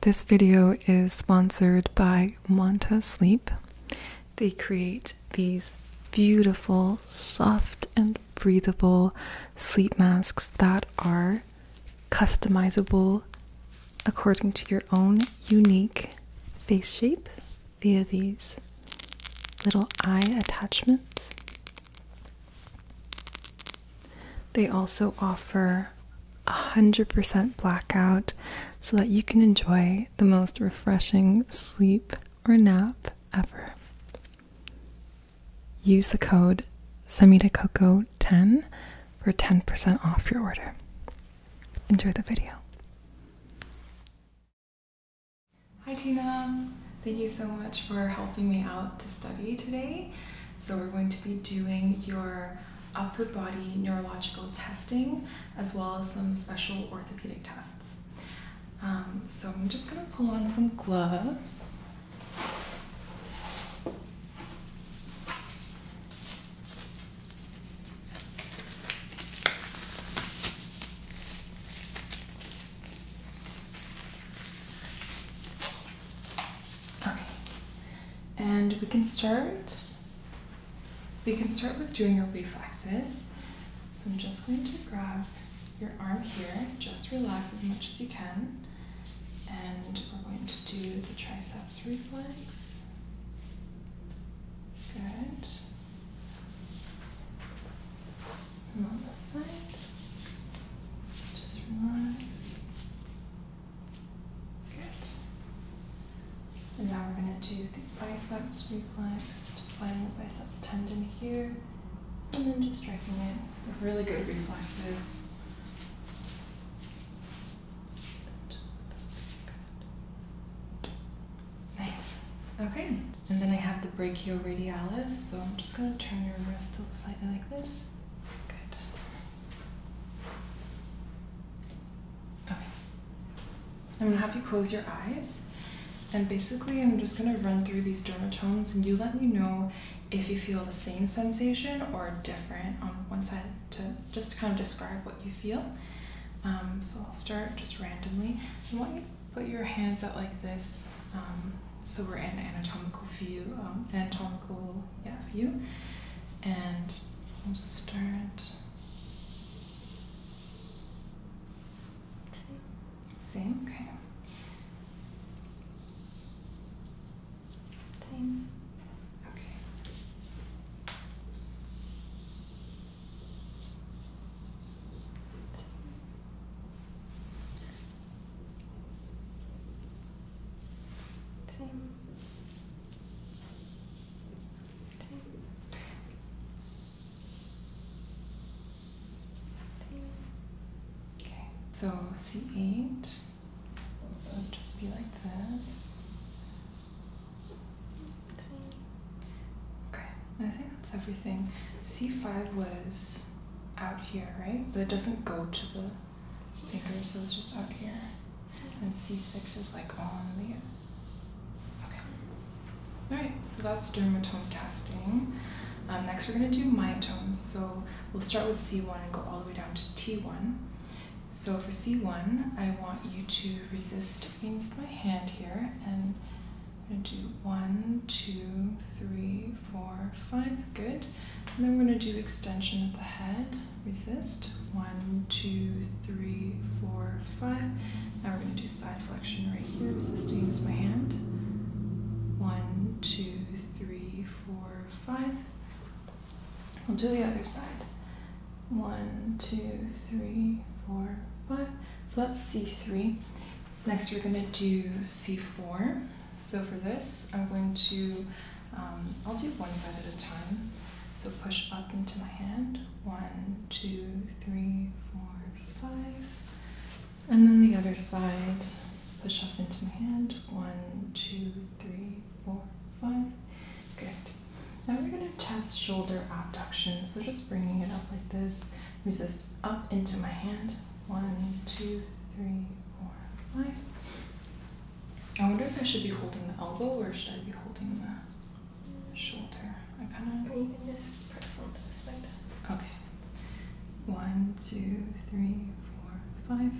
This video is sponsored by Wanta Sleep. They create these beautiful, soft, and breathable sleep masks that are customizable according to your own unique face shape via these little eye attachments. They also offer 100% blackout so that you can enjoy the most refreshing sleep or nap ever. Use the code SemitaCoco10 for 10% off your order. Enjoy the video. Hi Tina, thank you so much for helping me out to study today. So we're going to be doing your upper body neurological testing as well as some special orthopedic tests. Um, so I'm just going to pull on some gloves. Okay. And we can start. We can start with doing your reflexes. So I'm just going to grab your arm here, just relax as much as you can. And we're going to do the triceps reflex. Good. And on this side, just relax. Good. And now we're going to do the biceps reflex, just finding the biceps tendon here, and then just striking it. Really good reflexes. Just good. Nice. Okay. And then I have the brachioradialis, so I'm just going to turn your wrist slightly like this. Good. Okay. I'm gonna have you close your eyes, and basically, I'm just gonna run through these dermatomes, and you let me know if you feel the same sensation or different on one side to just to kind of describe what you feel. Um, so I'll start just randomly. I want you put your hands out like this. Um, so we're in anatomical view, um, anatomical yeah, you. And I'll just start. Same. Same, okay. Same. Okay. Same. Same. Okay, so C8 also just be like this. Okay, I think that's everything. C5 was out here, right? But it doesn't go to the bigger, so it's just out here. And C6 is like on the. Okay. Alright, so that's dermatome testing. Um, next, we're going to do myotomes. So we'll start with C1 and go all the way down to T1. So for C1, I want you to resist against my hand here and do one, two, three, four, five. Good. And then we're going to do extension of the head, resist. One, two, three, four, five. Now we're going to do side flexion right here, sustains my hand. One, two, three, four, five. We'll do the other side. One, two, three, four, five. So that's C3. Next we're going to do C4. So for this, I'm going to um, I'll do one side at a time. So push up into my hand. One, two, three, four, five. And then the other side. Push up into my hand. One, two, three, four, five. Good. Now we're going to test shoulder abduction. So just bringing it up like this. Resist up into my hand. One, two, three, four, five. I wonder if I should be holding the elbow or should I be holding the shoulder? I kind of. Or you can just press on this like that. Okay. One, two, three, four, five.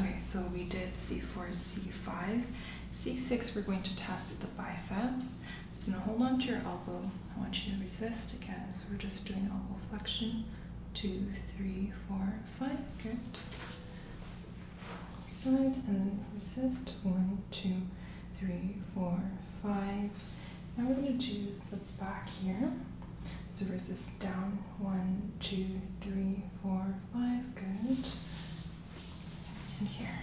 Okay, so we did C4, C5. C6, we're going to test the biceps. So to hold on to your elbow. I want you to resist again. So we're just doing elbow flexion. Two, three, four, Five good. Side and then resist. One, two, three, four, five. Now we're going to do the back here. So resist down. One, two, three, four, five. Good. And here.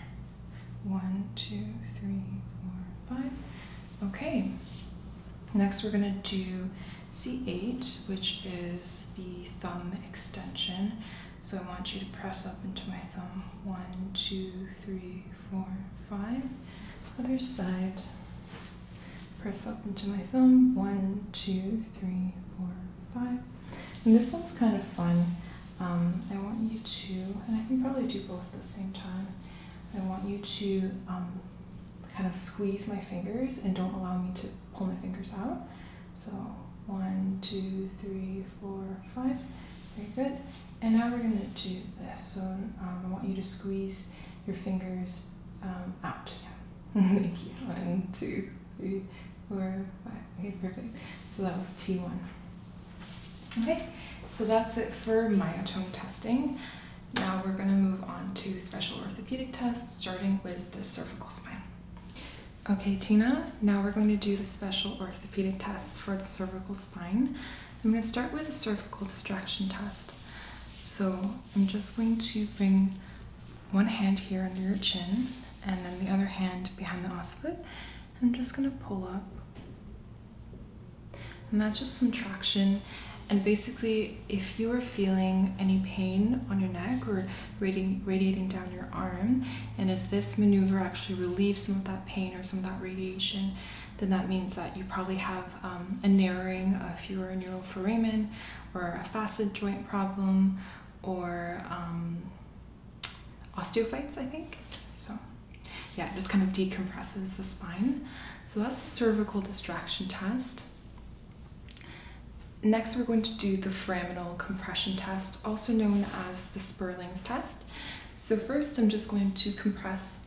One, two, three, four, five. Okay. Next, we're going to do C8, which is the thumb extension. So I want you to press up into my thumb. One, two, three, four, five. Other side. Press up into my thumb. One, two, three, four, five. And this one's kind of fun. Um, I want you to, and I can probably do both at the same time. I want you to um, kind of squeeze my fingers and don't allow me to pull my fingers out. So one, two, three, four, five. Very good. And now we're going to do this. So um, I want you to squeeze your fingers um, out. Thank you. One, two, three, four, five. Okay, perfect. So that was T1. Okay, so that's it for myotone testing. Now we're going to move on to special orthopedic tests, starting with the cervical spine. Okay, Tina, now we're going to do the special orthopedic tests for the cervical spine. I'm going to start with a cervical distraction test. So I'm just going to bring one hand here under your chin and then the other hand behind the occiput. I'm just going to pull up. And that's just some traction and basically, if you are feeling any pain on your neck or radiating down your arm, and if this maneuver actually relieves some of that pain or some of that radiation, then that means that you probably have um, a narrowing of your neural foramen or a facet joint problem or um, osteophytes, I think. So, yeah, it just kind of decompresses the spine. So, that's the cervical distraction test. Next, we're going to do the foraminal compression test, also known as the Sperling's test. So first, I'm just going to compress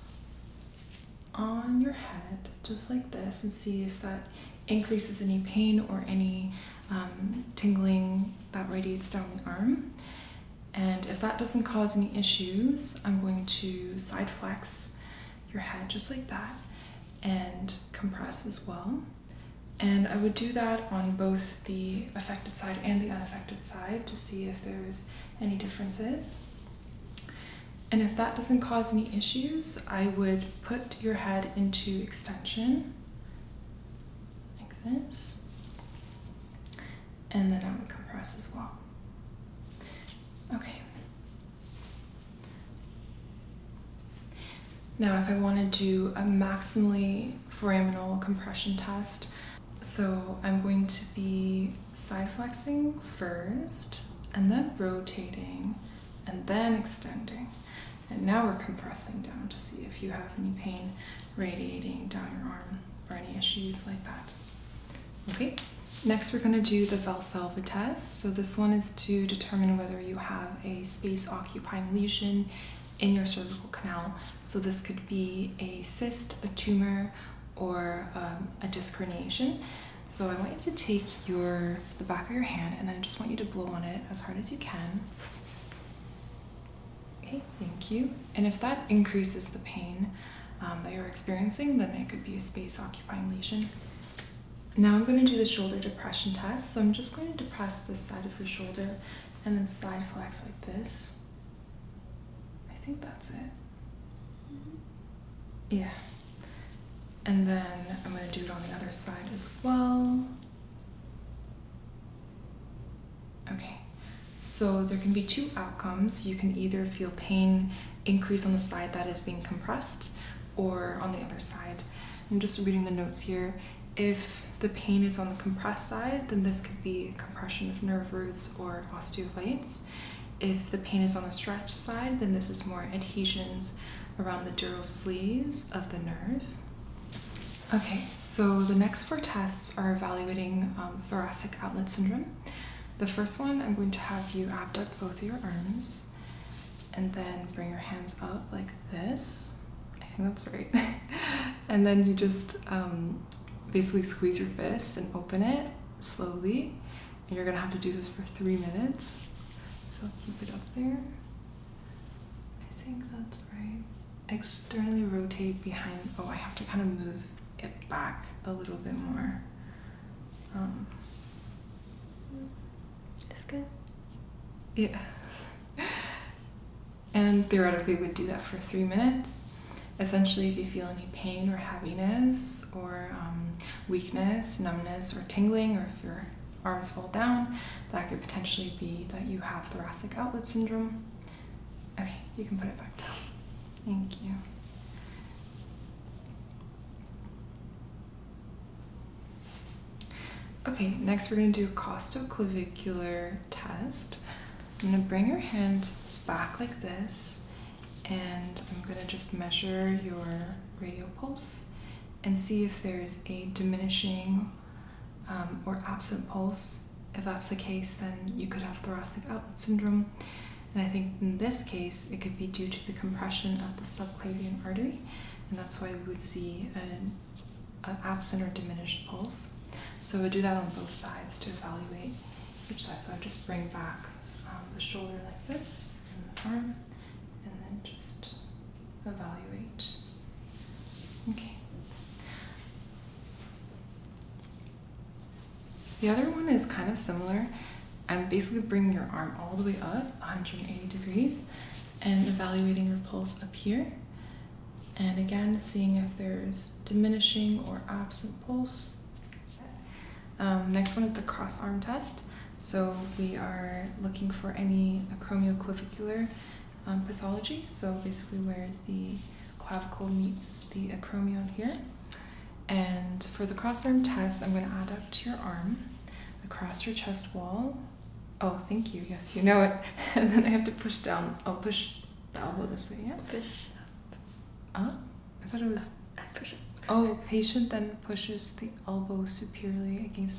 on your head, just like this, and see if that increases any pain or any um, tingling that radiates down the arm. And if that doesn't cause any issues, I'm going to side flex your head just like that and compress as well. And I would do that on both the affected side and the unaffected side to see if there's any differences. And if that doesn't cause any issues, I would put your head into extension like this. And then I would compress as well. Okay. Now if I want to do a maximally foraminal compression test, so I'm going to be side flexing first and then rotating and then extending. And now we're compressing down to see if you have any pain radiating down your arm or any issues like that. Okay, next we're gonna do the Valsalva test. So this one is to determine whether you have a space occupying lesion in your cervical canal. So this could be a cyst, a tumor, or um, a disc herniation. So I want you to take your the back of your hand and then I just want you to blow on it as hard as you can. Okay, thank you. And if that increases the pain um, that you're experiencing, then it could be a space occupying lesion. Now I'm going to do the shoulder depression test. So I'm just going to depress this side of your shoulder and then side flex like this. I think that's it. Mm-hmm. Yeah. And then I'm going to do it on the other side as well. Okay. So there can be two outcomes. You can either feel pain increase on the side that is being compressed or on the other side. I'm just reading the notes here. If the pain is on the compressed side, then this could be compression of nerve roots or osteophytes. If the pain is on the stretched side, then this is more adhesions around the dural sleeves of the nerve. Okay, so the next four tests are evaluating um, thoracic outlet syndrome. The first one, I'm going to have you abduct both your arms and then bring your hands up like this. I think that's right. and then you just um, basically squeeze your fist and open it slowly. And you're gonna have to do this for three minutes. So keep it up there. I think that's right. Externally rotate behind. Oh, I have to kind of move it back a little bit more. Um, it's good. Yeah. and theoretically we would do that for three minutes. Essentially, if you feel any pain or heaviness or um, weakness, numbness, or tingling, or if your arms fold down, that could potentially be that you have thoracic outlet syndrome. Okay, you can put it back down. Thank you. Okay, next we're going to do a costoclavicular test. I'm going to bring your hand back like this, and I'm going to just measure your radial pulse and see if there's a diminishing um, or absent pulse. If that's the case, then you could have thoracic outlet syndrome. And I think in this case, it could be due to the compression of the subclavian artery and that's why we would see an, absent or diminished pulse. So we do that on both sides to evaluate each side. So I just bring back um, the shoulder like this, and the arm, and then just evaluate. Okay. The other one is kind of similar. I'm basically bringing your arm all the way up 180 degrees and evaluating your pulse up here. And again, seeing if there's diminishing or absent pulse. Um, next one is the cross arm test. So we are looking for any acromioclavicular um, pathology. So basically where the clavicle meets the acromion here. And for the cross arm test, I'm gonna add up to your arm across your chest wall. Oh, thank you. Yes, you know it. And then I have to push down. I'll oh, push the elbow this way. Yeah. Push up. Ah, I thought it was. push Oh, patient then pushes the elbow superiorly against.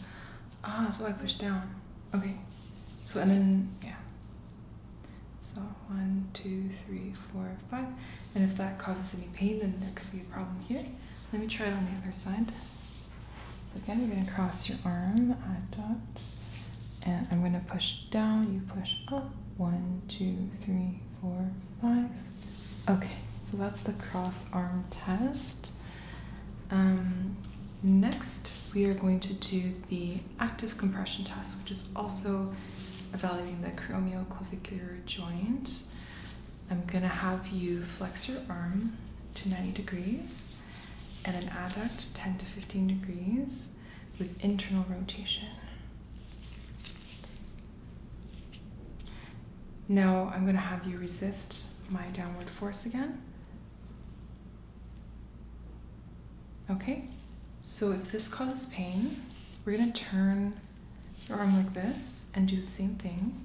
Ah, so I push down. Okay. So and then yeah. So one, two, three, four, five. And if that causes any pain, then there could be a problem here. Let me try it on the other side. So again, you're going to cross your arm, add dot, and I'm going to push down, you push up. One, two, three, four, five. Okay, so that's the cross arm test. Um, next, we are going to do the active compression test, which is also evaluating the acromioclavicular joint. I'm gonna have you flex your arm to 90 degrees and then adduct 10 to 15 degrees with internal rotation. Now I'm gonna have you resist my downward force again. Okay, so if this causes pain, we're gonna turn your arm like this and do the same thing.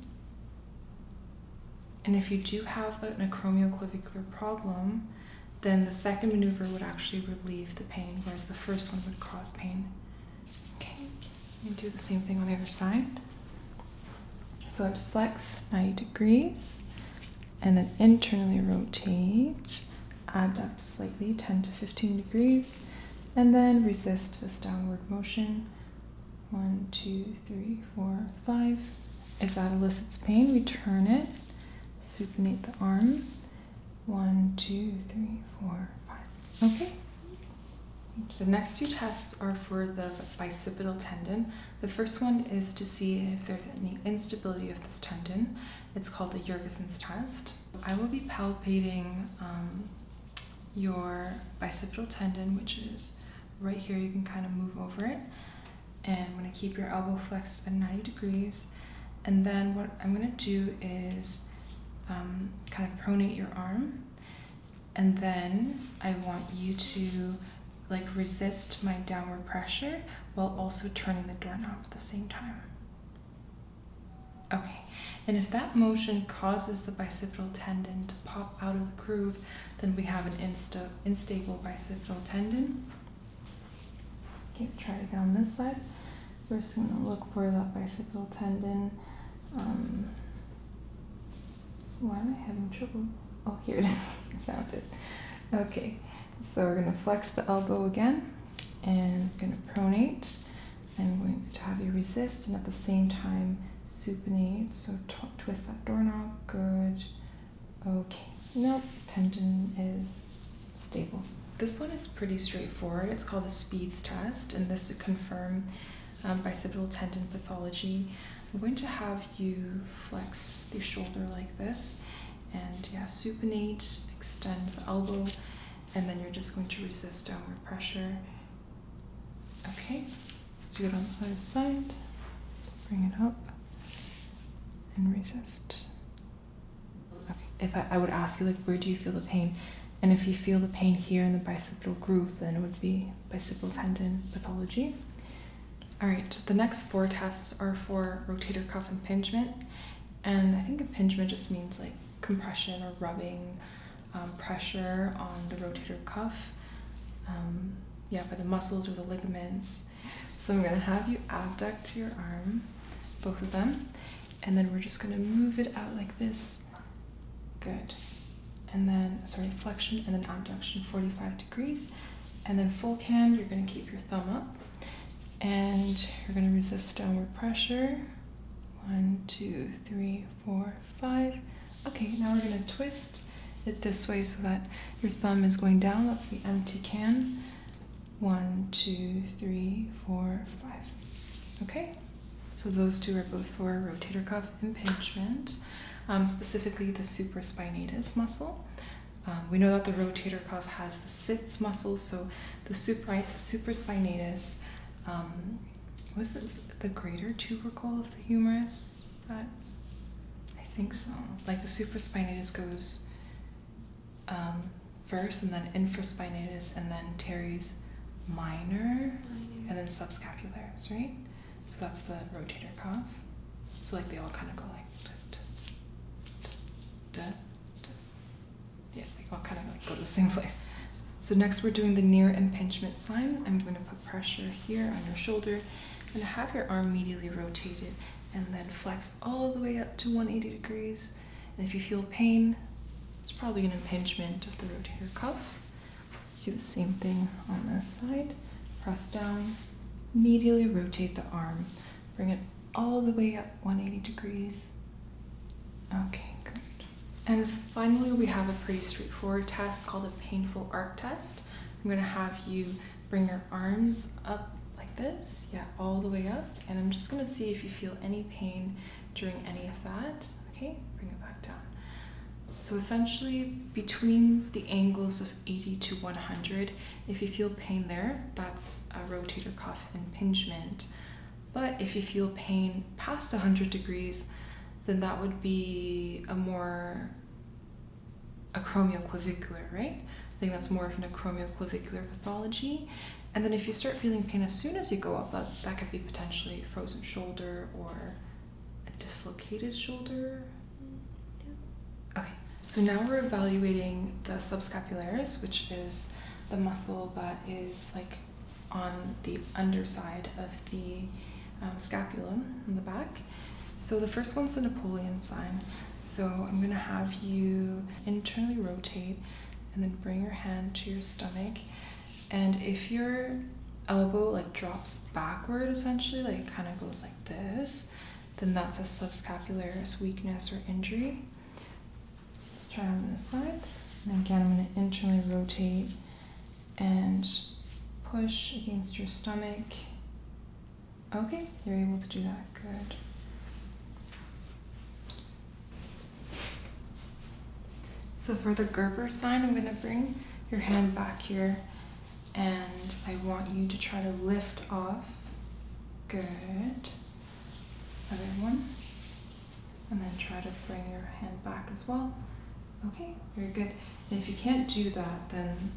And if you do have a acromioclavicular problem, then the second maneuver would actually relieve the pain, whereas the first one would cause pain. Okay, and do the same thing on the other side. So it flex 90 degrees and then internally rotate, abduct slightly 10 to 15 degrees, and then resist this downward motion one, two, three, four, five. If that elicits pain, we turn it, supinate the arm. One, two, three, four, five. Okay. The next two tests are for the bicipital tendon. The first one is to see if there's any instability of this tendon. It's called the Jurgensen's test. I will be palpating um, your bicipital tendon, which is right here. You can kind of move over it. And I'm going to keep your elbow flexed at 90 degrees. And then what I'm going to do is um, kind of pronate your arm. And then I want you to like resist my downward pressure while also turning the doorknob at the same time. Okay, and if that motion causes the bicipital tendon to pop out of the groove, then we have an insta instable bicipital tendon. Okay, try to get on this side. We're just going to look for that bicipital tendon. Um, why am I having trouble? Oh, here it is. found it. Okay, so we're going to flex the elbow again and going to pronate. I'm going to have you resist and at the same time supinate. So twist that doorknob. Good. Okay. Nope. Tendon is stable. This one is pretty straightforward. It's called the SPEEDS test, and this to confirm um, bicipital tendon pathology. I'm going to have you flex the shoulder like this, and yeah, supinate, extend the elbow, and then you're just going to resist downward pressure Okay, let's do it on the other side. Bring it up and resist. Okay, if I, I would ask you, like, where do you feel the pain? And if you feel the pain here in the bicipital groove, then it would be bicipital tendon pathology. All right, the next four tests are for rotator cuff impingement. And I think impingement just means like compression or rubbing um, pressure on the rotator cuff, um, yeah, by the muscles or the ligaments. So I'm gonna have you abduct your arm, both of them, and then we're just gonna move it out like this. Good. And then, sorry, flexion and then abduction, 45 degrees. And then full can, you're gonna keep your thumb up and you're gonna resist downward pressure. One, two, three, four, five. Okay, now we're gonna twist it this way so that your thumb is going down. That's the empty can. One, two, three, four, five. Okay, so those two are both for rotator cuff impingement, um, specifically the supraspinatus muscle. Um, we know that the rotator cuff has the sits muscles. so the supra- supraspinatus um, was it the greater tubercle of the humerus? That I think so. Like the supraspinatus goes um, first, and then infraspinatus, and then teres minor, and then subscapularis, right? So that's the rotator cuff. So like they all kind of go like, yeah, they all kind of go to the same place. So next we're doing the near impingement sign. I'm going to put pressure here on your shoulder and have your arm medially rotated and then flex all the way up to 180 degrees. And if you feel pain, it's probably an impingement of the rotator cuff. Let's do the same thing on this side. Press down, medially rotate the arm. Bring it all the way up 180 degrees. Okay, good. And finally, we have a pretty straightforward test called a painful arc test. I'm gonna have you bring your arms up like this, yeah, all the way up. And I'm just gonna see if you feel any pain during any of that. Okay, bring it back down. So essentially between the angles of 80 to 100, if you feel pain there, that's a rotator cuff impingement. But if you feel pain past 100 degrees, then that would be a more acromioclavicular, right? I think that's more of an acromioclavicular pathology. And then if you start feeling pain as soon as you go up, that, that could be potentially frozen shoulder or a dislocated shoulder. Okay, so now we're evaluating the subscapularis, which is the muscle that is like on the underside of the um, scapula in the back. So the first one's the Napoleon sign. So I'm gonna have you internally rotate and then bring your hand to your stomach. And if your elbow like drops backward essentially, like it kind of goes like this, then that's a subscapularis weakness or injury. Let's try on this side. And again, I'm gonna internally rotate and push against your stomach. Okay, you're able to do that. Good. So for the Gerber sign, I'm going to bring your hand back here and I want you to try to lift off. Good. Other one and then try to bring your hand back as well. Okay, very good. And if you can't do that, then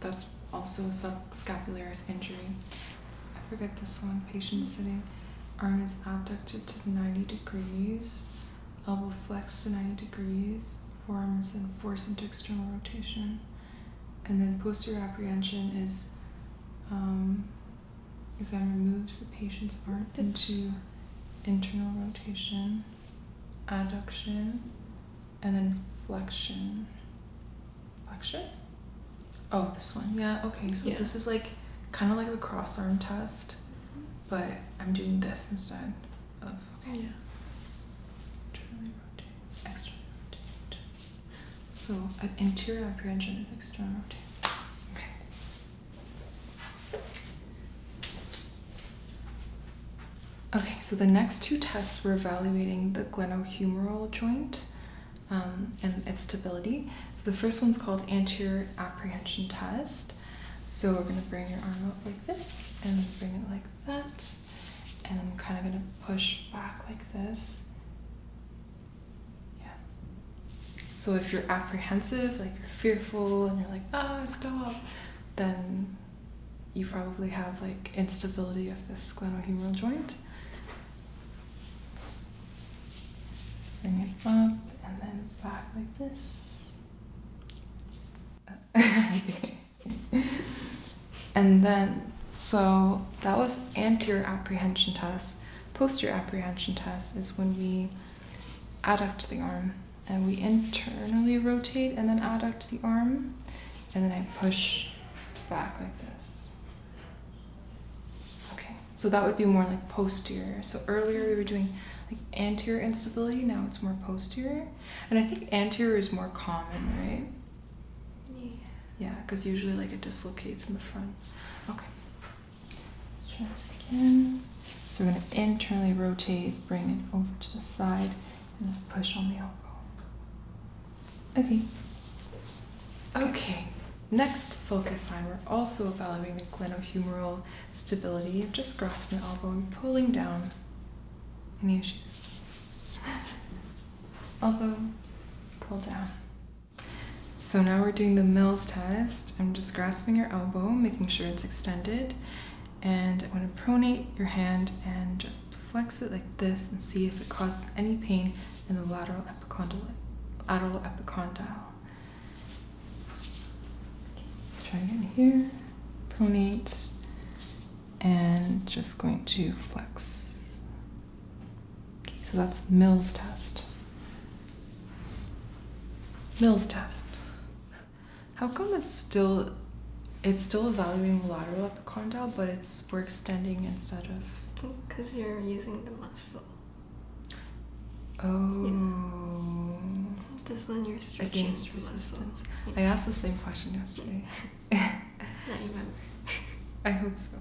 that's also a scapularis injury. I forget this one. Patient sitting, arm is abducted to 90 degrees, elbow flexed to 90 degrees, forearm is then forced into external rotation. And then posterior apprehension is um, is that removes the patient's arm into internal rotation, adduction, and then flexion. Flexion? Oh, this one. Yeah, okay. So this is like kind of like the cross arm test, but I'm doing this instead of. Yeah. Internally rotate, externally rotate. So an interior apprehension is external rotation. Okay. Okay, so the next two tests were evaluating the glenohumeral joint um, and its stability. So the first one's called anterior apprehension test. So we're gonna bring your arm up like this and bring it like that. And I'm kind of gonna push back like this. Yeah. So if you're apprehensive, like you're fearful and you're like, ah, stop, then you probably have like instability of this glenohumeral joint. bring it up and then back like this. and then, so that was anterior apprehension test. Posterior apprehension test is when we adduct the arm. And we internally rotate and then adduct the arm. And then I push back like this. Okay, so that would be more like posterior. So earlier we were doing like anterior instability, now it's more posterior. And I think anterior is more common, right? Yeah, because usually like it dislocates in the front. Okay, so we're going to internally rotate, bring it over to the side, and push on the elbow. Okay. Okay. Next sulcus sign, we're also evaluating the glenohumeral stability just grasp the elbow and pulling down. Any issues? Elbow, pull down. So now we're doing the Mills test. I'm just grasping your elbow, making sure it's extended. And I want to pronate your hand and just flex it like this and see if it causes any pain in the lateral epicondyle. Lateral epicondyle. Try again here, pronate, and just going to flex. Okay, so that's Mill's test. Mills test. How come it's still it's still evaluating the lateral at the epicondyle, but it's we're extending instead of because you're using the muscle. Oh. This linear you're stretching against resistance. I asked the same question yesterday. I remember. I hope so.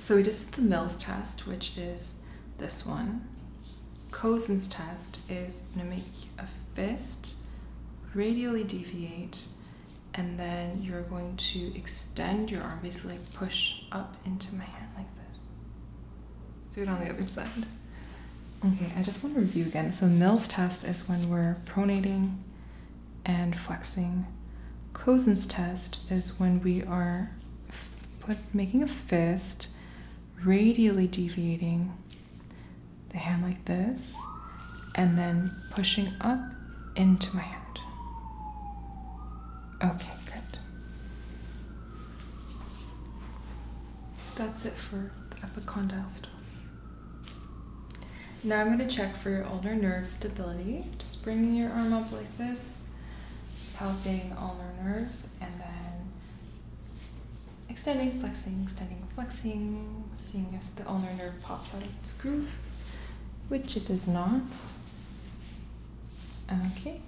So we just did the Mills test, which is this one. Cosin's test is gonna make a fist, radially deviate, and then you're going to extend your arm, basically push up into my hand like this. do it on the other side. Okay, I just want to review again. So Mills test is when we're pronating and flexing. Cosin's test is when we are put making a fist, radially deviating the hand like this, and then pushing up into my hand. Okay, good. That's it for the epicondyle Now I'm going to check for your ulnar nerve stability. Just bringing your arm up like this, palpating ulnar nerve and then extending, flexing, extending, flexing, seeing if the ulnar nerve pops out of its groove, which it does not. Okay.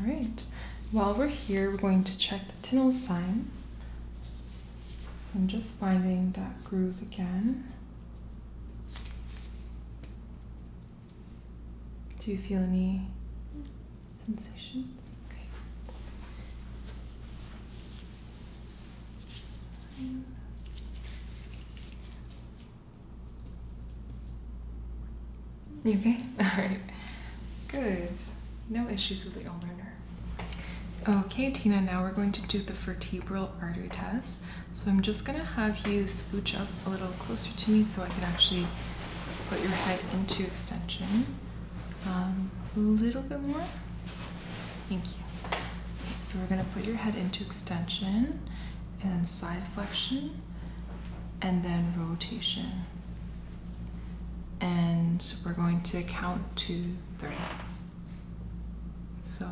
All right. While we're here, we're going to check the Tinel sign. So I'm just finding that groove again. Do you feel any sensations? Okay. Alright. Good. No issues with the ulnar nerve. Okay, Tina, now we're going to do the vertebral artery test. So I'm just gonna have you scooch up a little closer to me so I can actually put your head into extension. Um, a little bit more. Thank you. so we're gonna put your head into extension and side flexion and then rotation. And we're going to count to 30. So,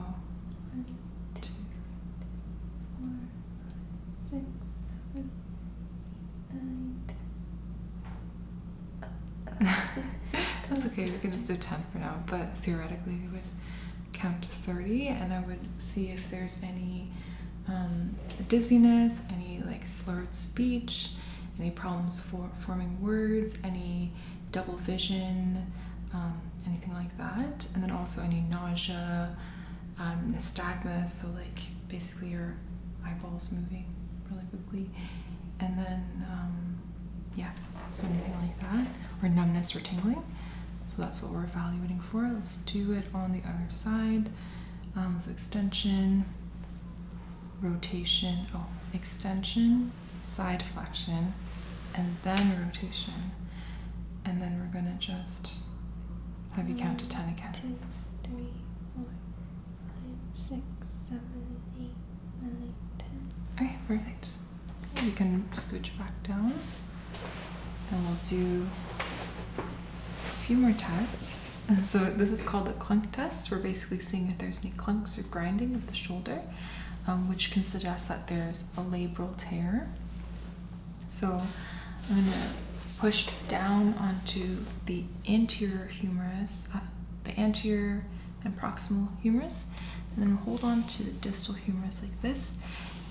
that's okay, we can just do 10 for now, but theoretically we would count to 30 and I would see if there's any um, dizziness, any like slurred speech, any problems for forming words, any double vision, um, anything like that. And then also any nausea, um, nystagmus, so like basically your eyeballs moving really quickly. And then, um, yeah, so anything like that, or numbness or tingling. So that's what we're evaluating for. Let's do it on the other side. Um, so extension, rotation, oh, extension, side flexion, and then rotation and then we're going to just have you count to 10 again. Two, three, four, five, six, seven, eight, nine, 10. Okay, perfect. You can scooch back down and we'll do a few more tests. so this is called the clunk test. We're basically seeing if there's any clunks or grinding at the shoulder, um, which can suggest that there's a labral tear. So I'm going to push down onto the anterior humerus, uh, the anterior and proximal humerus, and then hold on to the distal humerus like this.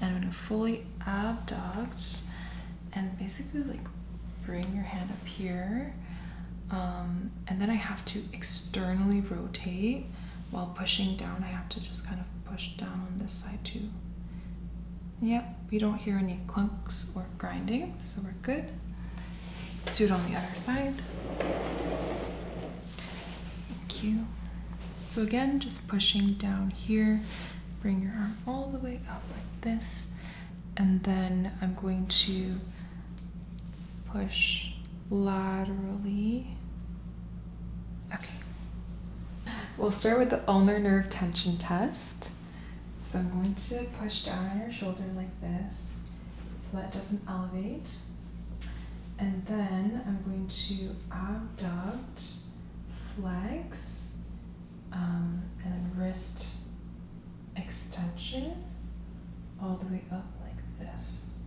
And I'm going to fully abduct and basically like bring your hand up here. Um, and then I have to externally rotate while pushing down, I have to just kind of push down on this side too. Yep, we don't hear any clunks or grinding, so we're good. Let's do it on the other side. Thank you. So again, just pushing down here, bring your arm all the way up like this, and then I'm going to push laterally. Okay. We'll start with the ulnar nerve tension test. So I'm going to push down on your shoulder like this so that doesn't elevate. And then I'm going to abduct, flex, um, and then wrist extension all the way up like this.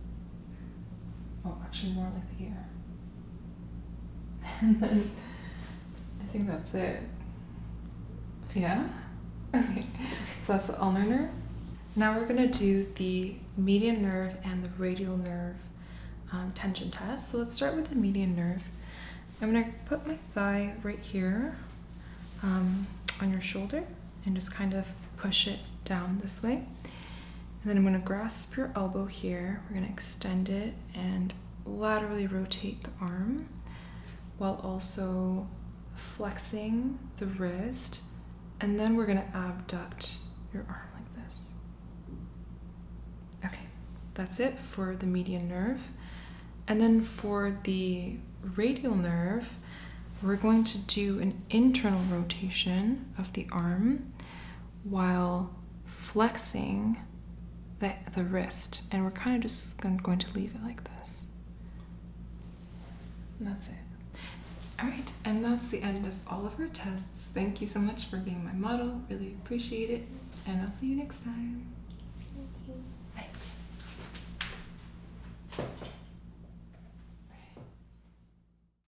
Oh, actually, more like the ear. and then I think that's it. Yeah? Okay, so that's the ulnar nerve. Now we're gonna do the median nerve and the radial nerve um, tension test. So let's start with the median nerve. I'm gonna put my thigh right here um, on your shoulder and just kind of push it down this way. And then I'm gonna grasp your elbow here. We're gonna extend it and laterally rotate the arm while also flexing the wrist. And then we're gonna abduct your arm like this. Okay, that's it for the median nerve. And then for the radial nerve, we're going to do an internal rotation of the arm while flexing the, the wrist. And we're kind of just going to leave it like this. that's it. All right, and that's the end of all of our tests. Thank you so much for being my model. Really appreciate it. And I'll see you next time. Thank you. Bye.